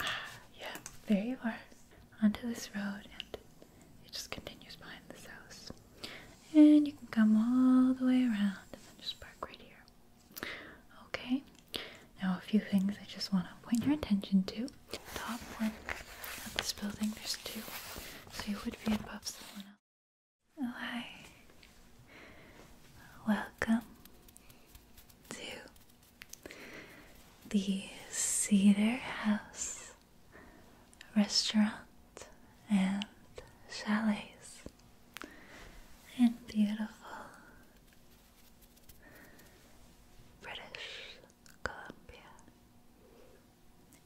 Ah, yeah, there you are. Onto this road, and it just continues behind this house. And you can come all the way around and then just park right here. Okay, now a few things I just want to point your attention to. Top one of this building, there's two, so you would be above someone else hi. Welcome to the Cedar House Restaurant and Chalets in beautiful British Columbia.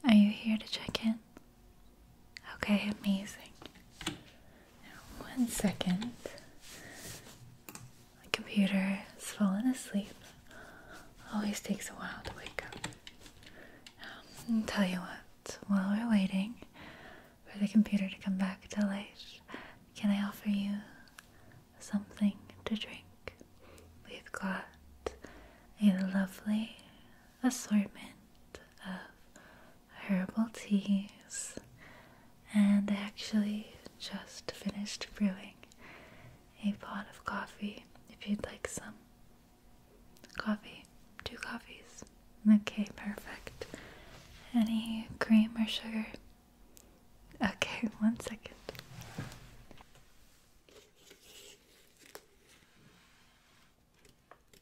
Are you here to check in? Okay, amazing one second. My computer has fallen asleep. Always takes a while to wake up. Now, tell you what, while we're waiting for the computer to come back to life, can I offer you something to drink? We've got a lovely assortment of herbal teas, and I actually just finished brewing a pot of coffee. If you'd like some coffee, two coffees. Okay, perfect. Any cream or sugar? Okay, one second.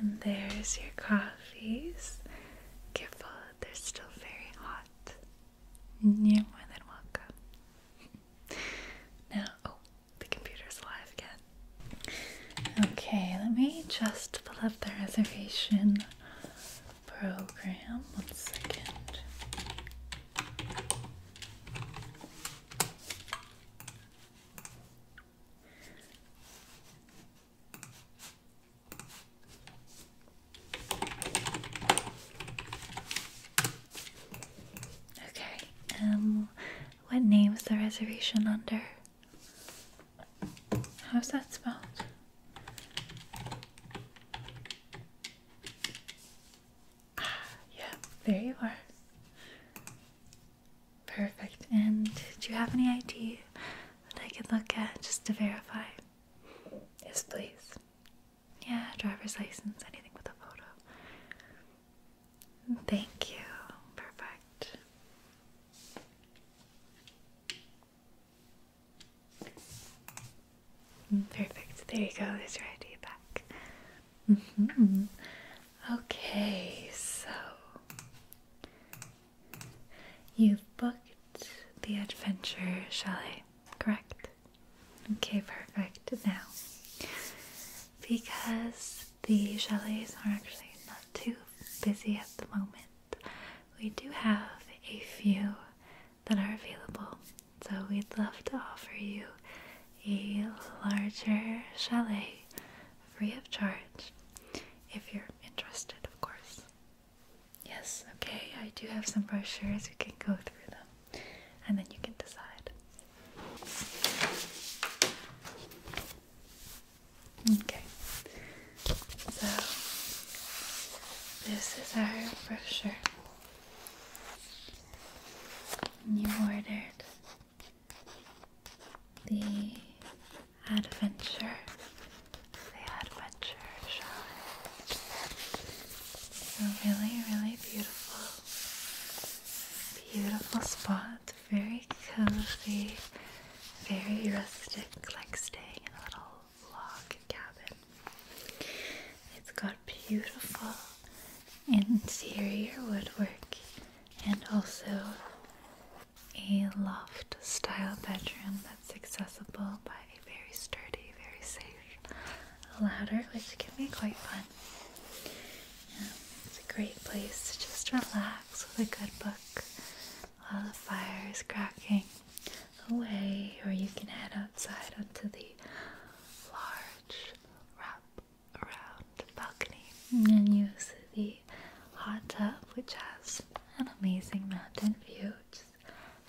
And there's your coffees. Careful, they're still very hot. You're more than welcome. now, oh, the computer's alive again. Okay, let me just pull up the reservation program. One second. Okay, um, what name is the reservation under? How's that spelled? Ah, yeah, there you are. Perfect. And do you have any ID that I could look at just to verify? Yes, please. Yeah, driver's license, anything with a photo. Thank you. Perfect. Mm, perfect. There you go. There's your ID back. Mm-hmm. Okay, so you've booked the adventure chalet, correct? Okay, perfect. Now, because the chalets are actually not too busy at the moment, we do have a few that are available. So, we'd love to offer you a larger chalet free of charge if you're interested, of course. Yes, okay, I do have some brochures. We can go through them and then you can decide. Okay, so this is our brochure. you ordered the adventure adventure, shall really, really beautiful. Beautiful spot, very cozy, very rustic, like staying in a little log cabin. It's got beautiful interior woodwork and also a loft style bedroom that it's accessible by a very sturdy, very safe ladder, which can be quite fun. it's a great place to just relax with a good book while the fire is cracking away, or you can head outside onto the large wrap around balcony and use the hot tub, which has an amazing mountain view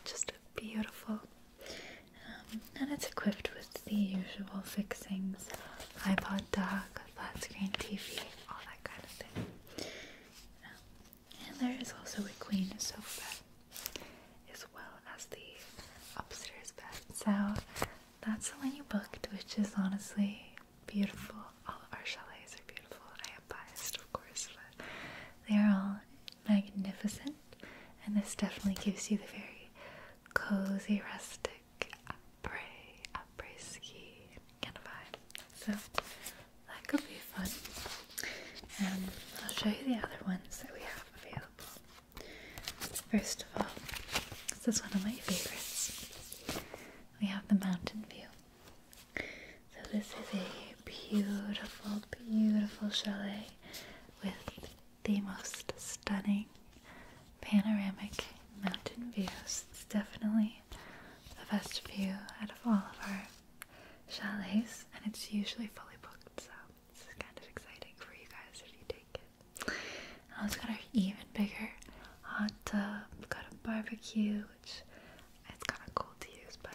just beautiful. Um, and it's equipped with the usual fixings, iPod dock, flat screen TV, all that kind of thing. Um, and there is also a queen sofa as well as the upstairs bed. So that's the one you booked, which is honestly beautiful. All of our chalets are beautiful. I am biased, of course, but they are all magnificent and this definitely gives you the very cozy, rustic, après, après ski kind of vibe. So that could be fun. And I'll show you the other ones that we have available. First of all, this is one of my favorites. We have the mountain view. So this is a beautiful, beautiful chalet with the most stunning panoramic mountain views. It's definitely the best view out of all of our chalets, and it's usually fully booked, so it's kind of exciting for you guys if you take it. Now it's got an even bigger hot tub, got a barbecue, which it's kind of cold to use, but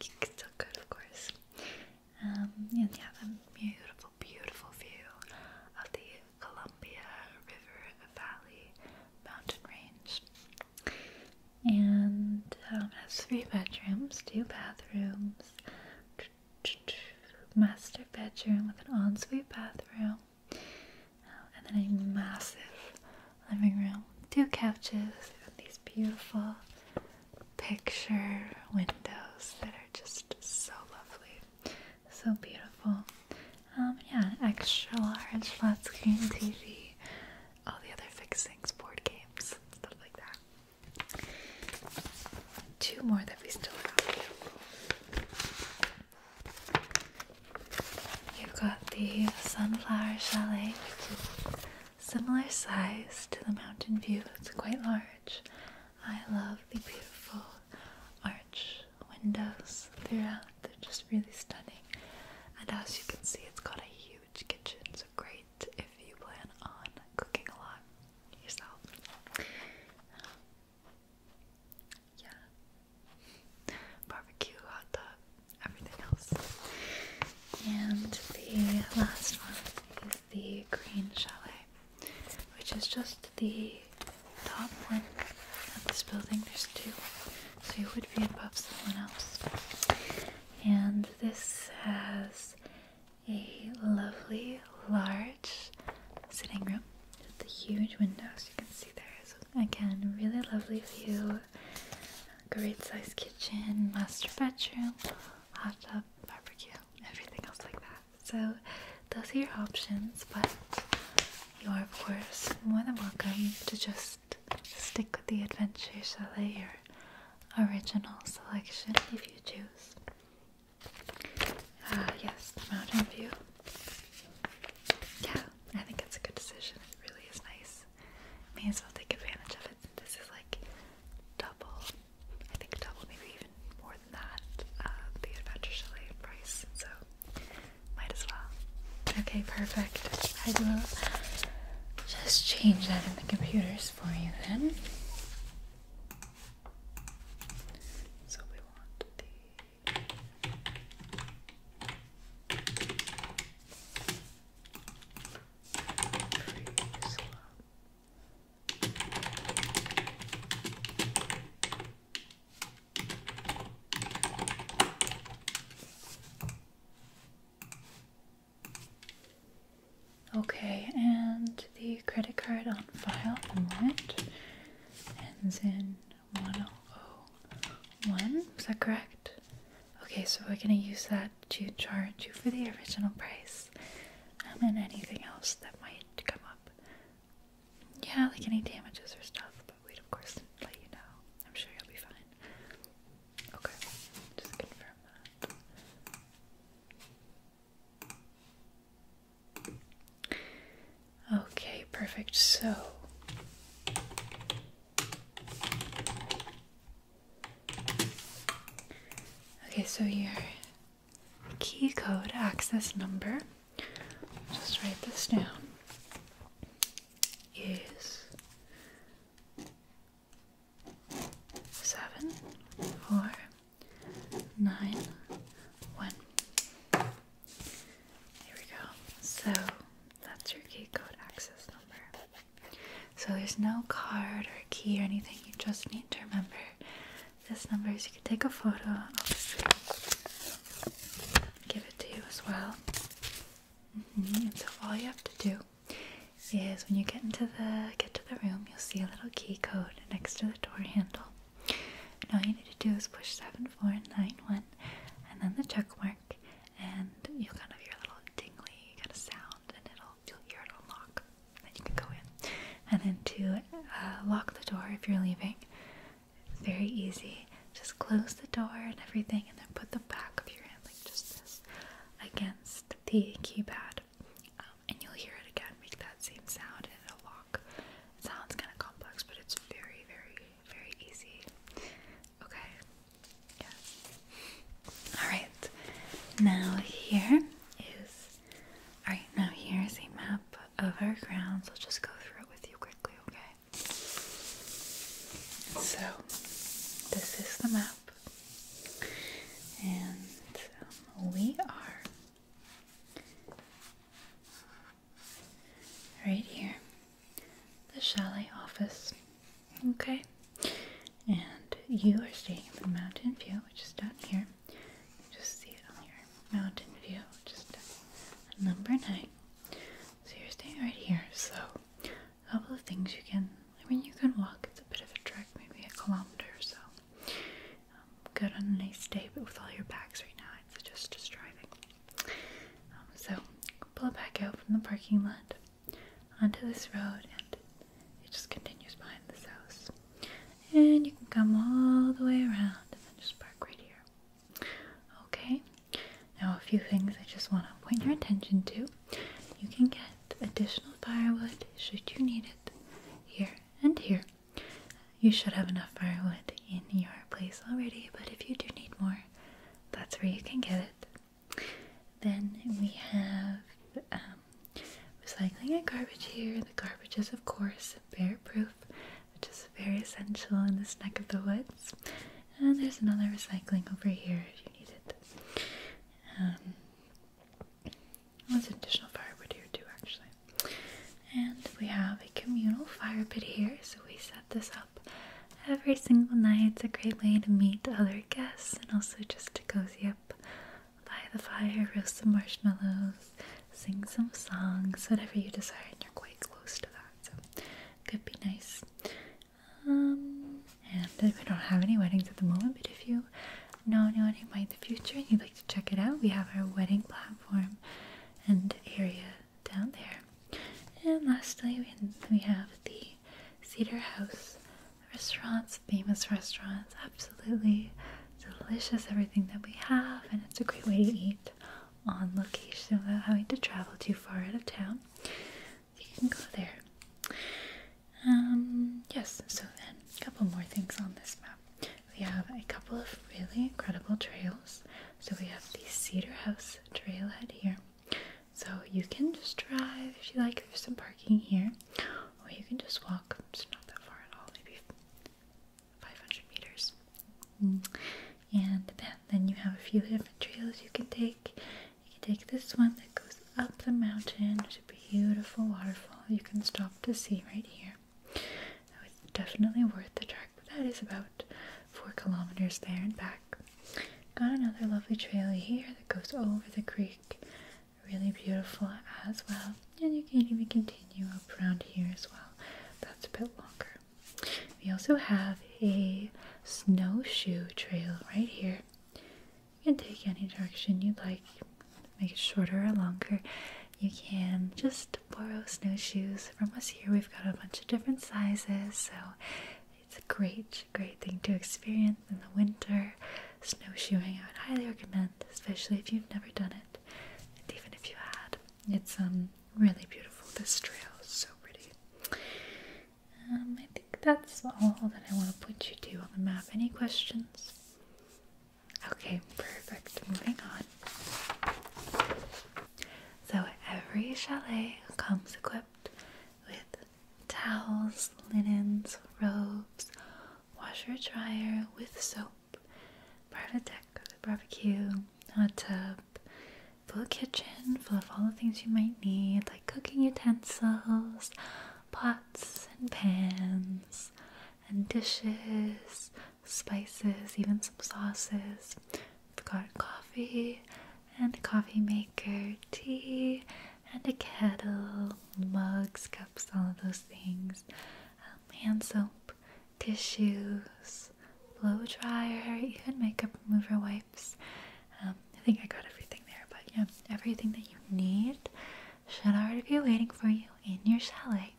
still good, of course. Um, and you have beautiful, beautiful view of the Columbia River Valley mountain range. And it um, has three bedrooms, two bathrooms, master bedroom with an ensuite bathroom, um, and then a massive living room, two couches, these beautiful picture windows that are just so lovely, so beautiful. Um, yeah, extra large flat screen TV, all the other fixings, board games, stuff like that. Two more that we still have. You've got the Sunflower Chalet, similar size to the mountain view. It's quite large. I love the beautiful arch windows throughout. They're just really stunning. And as you can see, it's got a huge kitchen, so great if you plan on cooking a lot yourself. Yeah. Barbecue, hot tub, everything else. And the last one is the green chalet, which is just the top one of this building. There's two, so you would be above someone else. And this has a lovely large sitting room with the huge windows you can see there. So again, really lovely view. Great size kitchen, master bedroom hot tub, barbecue, everything else like that. So those are your options, but you are of course more than welcome to just stick with the adventure chalet, your original selection if you choose. Ah, yes, the mountain view. Yeah, I think it's a good decision. It really is nice this. May as well take advantage of it. since This is like double, I think double, maybe even more than that, uh, the Adventure Chalet price. So might as well. Okay, perfect. I will just change that in the computers for you then. So we want the. Okay, and the credit card on file, the warrant, ends in 1001. Is that correct? Okay, so we're gonna use that to charge you for the original price um, and then anything else that might come up. Yeah, like any damages or stuff, but we'd of course let you know. I'm sure you'll be fine. Okay, just confirm Okay, perfect. So Okay, so your key code access number, just write this down, is seven four nine one. Here we go. So that's your key code access number. So there's no card or key or anything, you just need to remember this number so you can take a photo obviously give it to you as well. Mm-hmm. And so all you have to do is when you get into the get to the room you'll see a little key code next to the door handle. all you need to do is push seven four nine one and then the check mark and you'll kind of hear a little tingly kind of sound and it'll you'll hear it unlock. Then you can go in. And then to uh, lock the door if you're leaving, very easy. Just close the door and everything, and then put the back of your hand, like just this, against the keypad. Um, and you'll hear it again make that same sound and it'll lock. It sounds kind of complex, but it's very, very, very easy. Okay, yeah. All right. Now here is. All right. Now here is a map of our grounds. I'll just go through it with you quickly, okay? So this is the map, and um, we are. Right here, the chalet office. Okay, and you are staying up in Mountain View, which is down here. You just see it on here. Mountain View, just down number nine. So you're staying right here. So a couple of things you can. I mean, you can walk. It's a bit of a trek, maybe a kilometer or so. Um, good on a nice day, but with all your bags right now, it's just just driving. Um, so pull it back out from the parking lot onto this road and it just continues behind this house. And you can come all the way around and then just park right here. Okay, now a few things I just want to point your attention to. You can get additional firewood should you need it here and here. You should have enough firewood in your place already, but if you do need more, that's where you can get it. Then we have um, recycling and garbage here. The garbage is, of course, bear proof, which is very essential in this neck of the woods. And there's another recycling over here if you need it. Um, there's an additional firewood here too, actually. And we have a communal fire pit here, so we set this up every single night. It's a great way to meet other regular guests and also just to cozy up by the fire, roast some marshmallows, sing some songs, whatever you desire, and you're quite close to that, so could be nice. Um, and we don't have any weddings at the moment, but if you know anyone in mind in the future and you'd like to check it out, we have our wedding platform and area down there. And lastly, we have the Cedar House restaurants, famous restaurants, absolutely delicious, everything that we have, and it's a great way to eat on location without having to travel too far out of town. You can go there. Um, yes, so then a couple more things on this map. We have a couple of really incredible trails. So we have the Cedar House trailhead here, so you can just drive if you like. There's some parking here, or you can just walk. It's not that far at all, maybe 500 meters. And then, then you have a few different trails you can take. You can take this one that goes up the mountain. There's a beautiful waterfall. You can stop to see right here. Now it's definitely worth the trek. But that is about four kilometers there and back. Got another lovely trail here that goes over the creek. Really beautiful as well. And you can even continue up around here as well. That's a bit longer. We also have a snowshoe trail right here. You can take any direction you'd like, make it shorter or longer. You can just borrow snowshoes from us here. We've got a bunch of different sizes, so it's a great, great thing to experience in the winter. Snowshoeing, I would highly recommend, especially if you've never done it. And even if you had, it's um really beautiful. This trail is so pretty. Um, I think that's all that I want to put you to on the map. Any questions? Okay, perfect. Moving on. So every chalet comes equipped with towels, linens, robes, washer dryer with soap, private deck with a barbecue, hot tub, full kitchen full of all the things you might need, like cooking utensils, pots and pans, and dishes, spices, even some sauces. Forgot coffee, and a coffee maker, tea, and a kettle, mugs, cups, all of those things, um, hand soap, tissues, blow dryer, even makeup remover wipes. Um, I think I got everything there, but yeah, everything that you need should already be waiting for you in your chalet.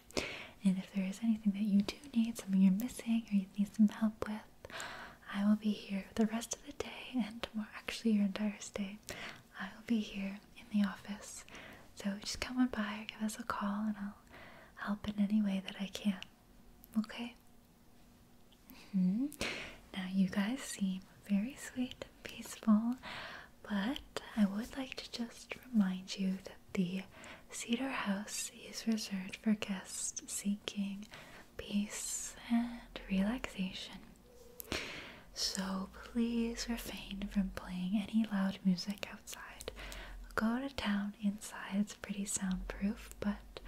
And if there is anything that you do need, something you're missing, or you need some help with, I will be here the rest of the day and tomorrow, actually, your entire stay. I will be here in the office. So just come on by or give us a call and I'll help in any way that I can. Okay? -hmm. Now, you guys seem very sweet and peaceful, but I would like to just remind you that the Cedar House is reserved for guests seeking peace and relaxation. So please refrain from playing any loud music outside. Go to town inside, it's pretty soundproof, but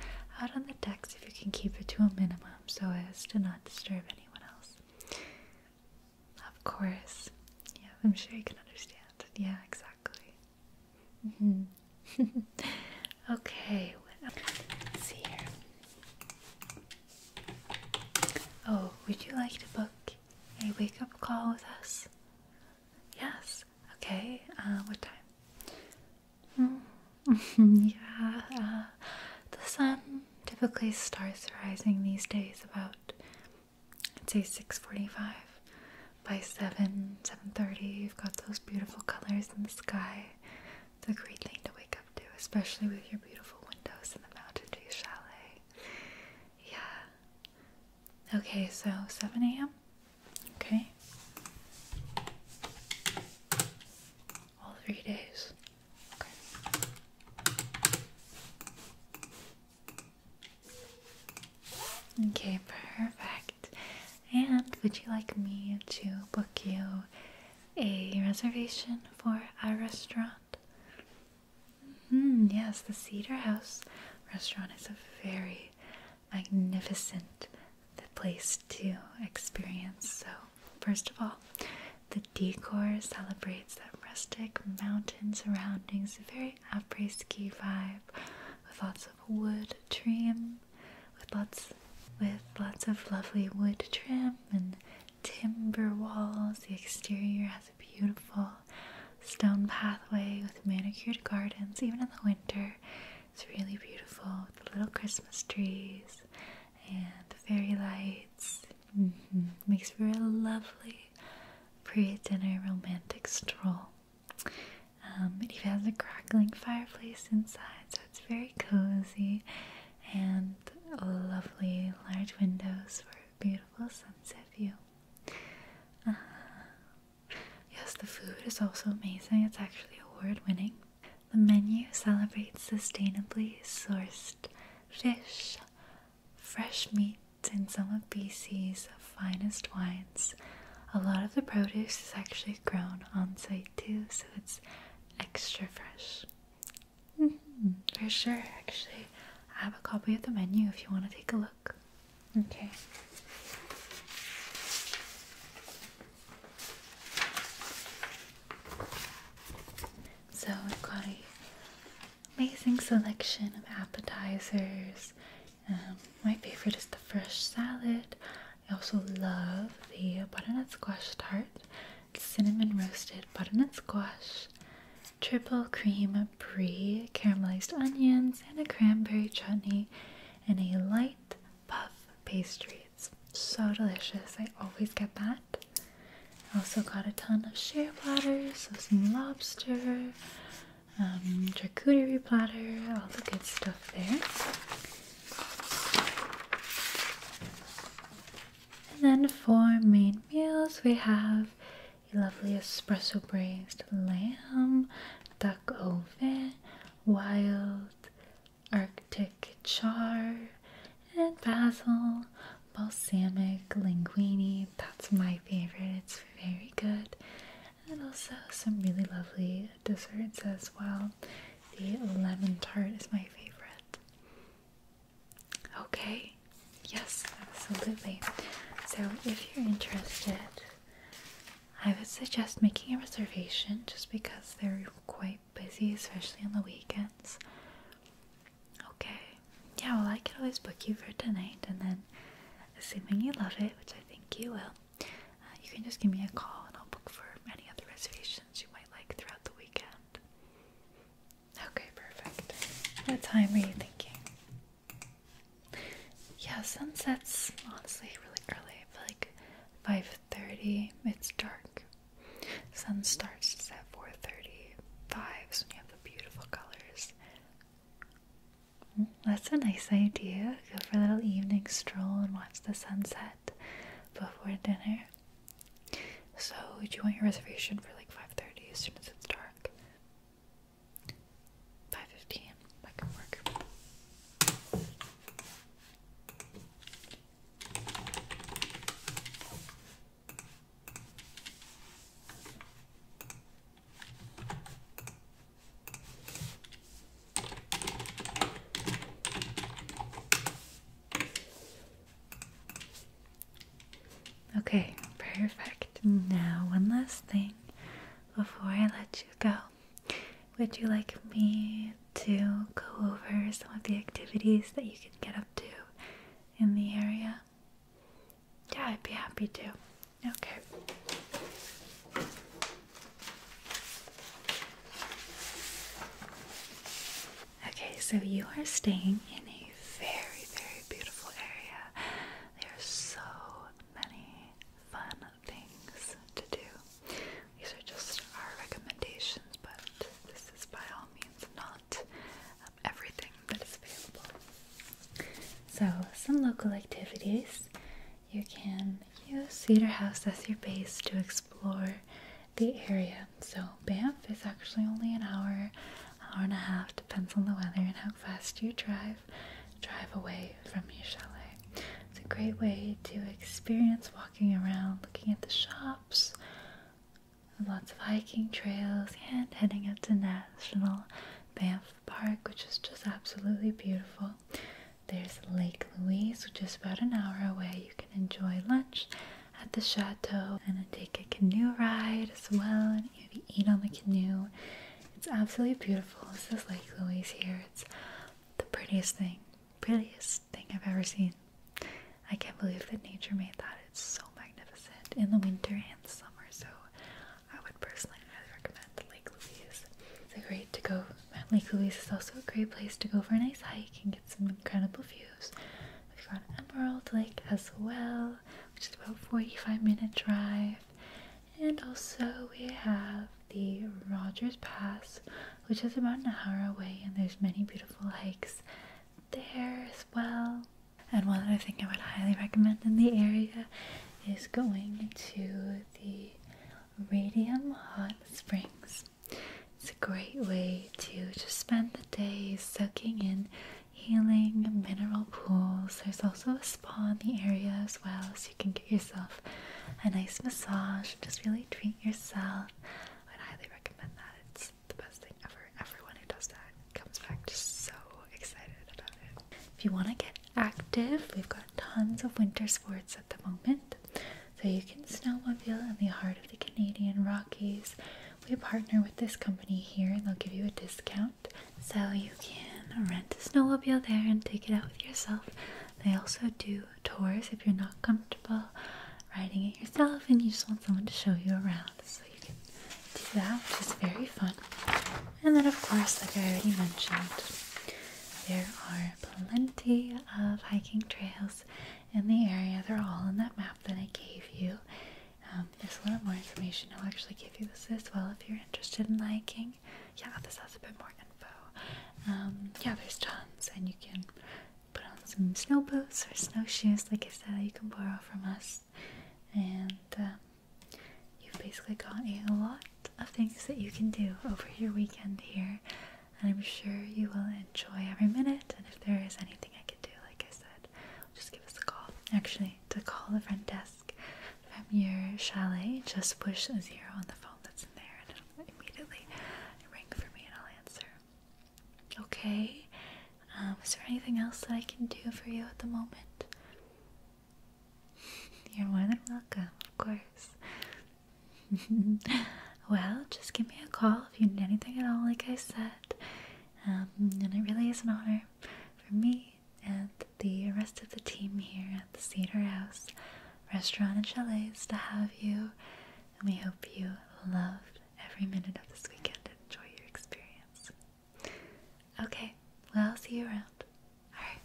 out on the decks if you can keep it to a minimum so as to not disturb anyone else. Of course. Yeah, I'm sure you can understand. Yeah, exactly. Mm-hmm. okay, see here. Oh, would you like to book a wake up call with us? Yes. Okay. Uh, what time? Hmm. yeah. Uh, the sun typically starts rising these days about I'd say six forty-five. By seven, seven thirty, you've got those beautiful colors in the sky. It's a great thing to wake up to, especially with your beautiful windows in the Mountain view Chalet. Yeah. Okay, so 7 a.m. Okay. All three days. Okay, perfect. And would you like me to book you a reservation for a restaurant? Hmm, yes, the Cedar House restaurant is a very magnificent place to experience. So, first of all, the decor celebrates that rustic mountain surroundings, a very après ski vibe with lots of wood, trim with lots with lots of lovely wood trim and timber walls. The exterior has a beautiful stone pathway with manicured gardens, even in the winter. It's really beautiful with little Christmas trees and the fairy lights. Mm-hmm. Makes for a lovely pre-dinner romantic stroll. Um, it even has a crackling fireplace inside, it's very cozy and lovely large windows for a beautiful sunset view. Uh-huh. yes, the food is also amazing. It's actually award winning. The menu celebrates sustainably sourced fish, fresh meat, and some of BC's finest wines. A lot of the produce is actually grown on site too, so it's extra fresh. Mm-hmm. For sure, actually. I have a copy of the menu if you want to take a look. Okay. So we've got an amazing selection of appetizers. Um, my favorite is the fresh salad. I also love the butternut squash tart, cinnamon roasted butternut squash, triple cream brie, caramelized onions, and a cranberry chutney, and a light puff pastry. It's so delicious. I always get that. also got a ton of share platters, so some lobster, um, platter, all the good stuff there. And then for main meals, we have a lovely espresso braised lamb, duck au wild arctic char, and basil balsamic linguine. That's my favorite. It's very good. And also some really lovely desserts as well. The lemon tart is my favorite. Okay, yes, absolutely. So, if you're interested, I would suggest making a reservation just because they're quite busy, especially on the weekends. Okay, yeah, well, I could always book you for tonight, and then assuming you love it, which I think you will, uh, you can just give me a call and I'll book for any other reservations you might like throughout the weekend. Okay, perfect. What time are you thinking? Yeah, sunset's honestly really early. I like 5.30, it's dark. Sun starts just at 4.30, so you have the beautiful colors. Mm, that's a nice idea. Go for a little evening stroll and watch the sunset before dinner. So do you want your reservation for like 5.30 as soon as it's dark? 5.15, that can work. Okay, perfect. Now, one last thing before I let you go. Would you like me to go over some of the activities that you can get up to in the area? Yeah, I'd be happy to. Okay. Okay, so you are staying in a very, very beautiful area. There are so many fun things to do. These are just our recommendations, but this is by all means not um, everything that is available. So, some local activities you can use Cedar House as your base to explore the area. So Banff is actually only an hour, hour and a half, depends on the weather and how fast you drive, drive away from your chalet. It's a great way to experience walking around, looking at the shops, lots of hiking trails, and heading up to National Banff Park, which is just absolutely beautiful. There's Lake Louise, which is about an hour away. You can enjoy lunch at the chateau and take a canoe ride as well and maybe eat on the canoe. It's absolutely beautiful. This is Lake Louise here. It's the prettiest thing, prettiest thing I've ever seen. I can't believe that nature made that. It's so magnificent in the winter and summer. So I would personally highly recommend Lake Louise. It's a great to go Lake Louise is also a great place to go for a nice hike and get some incredible views. We've got Emerald Lake as well, which is about 45 minute drive. And also we have the Rogers Pass, which is about an hour away and there's many beautiful hikes there as well. And one other thing I would highly recommend in the area is going to the Radium Hot Springs. It's a great way to just spend the day soaking in healing mineral pools. There's also a spa in the area as well, so you can get yourself a nice massage. Just really treat yourself. I'd highly recommend that. It's the best thing ever. Everyone who does that comes back just so excited about it. If you want to get active, we've got tons of winter sports at the moment. So you can snowmobile in the heart of the Canadian Rockies. We partner with this company here and they'll give you a discount. So you can rent a snowmobile there and take it out with yourself. They also do tours if you're not comfortable riding it yourself and you just want someone to show you around. So you can do that, which is very fun. And then of course, like I already mentioned, there are plenty of hiking trails in the area. They're all in that map that I gave you. Um, there's a little more information. I'll actually give you this as well if you're interested in hiking. Yeah, this has a bit more info. Um, yeah, there's tons, and you can put on some snow boots or snowshoes, like I said, you can borrow from us. And uh, you've basically got a lot of things that you can do over your weekend here and I'm sure you will enjoy every minute. And if there is anything I can do, like I said, just give us a call. Actually, to call the front desk from your chalet, just push a zero on the phone that's in there, and it'll immediately ring for me, and I'll answer. Okay. Um, is there anything else that I can do for you at the moment? You're more than welcome, of course. well, just give me a call if you need anything at all, like I said. Um, and it really is an honor for me and the rest of the team here at the Cedar House Restaurant and Chalets to have you. And we hope you loved every minute of this weekend and enjoy your experience. Okay, well, I'll see you around. Alright,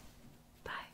bye.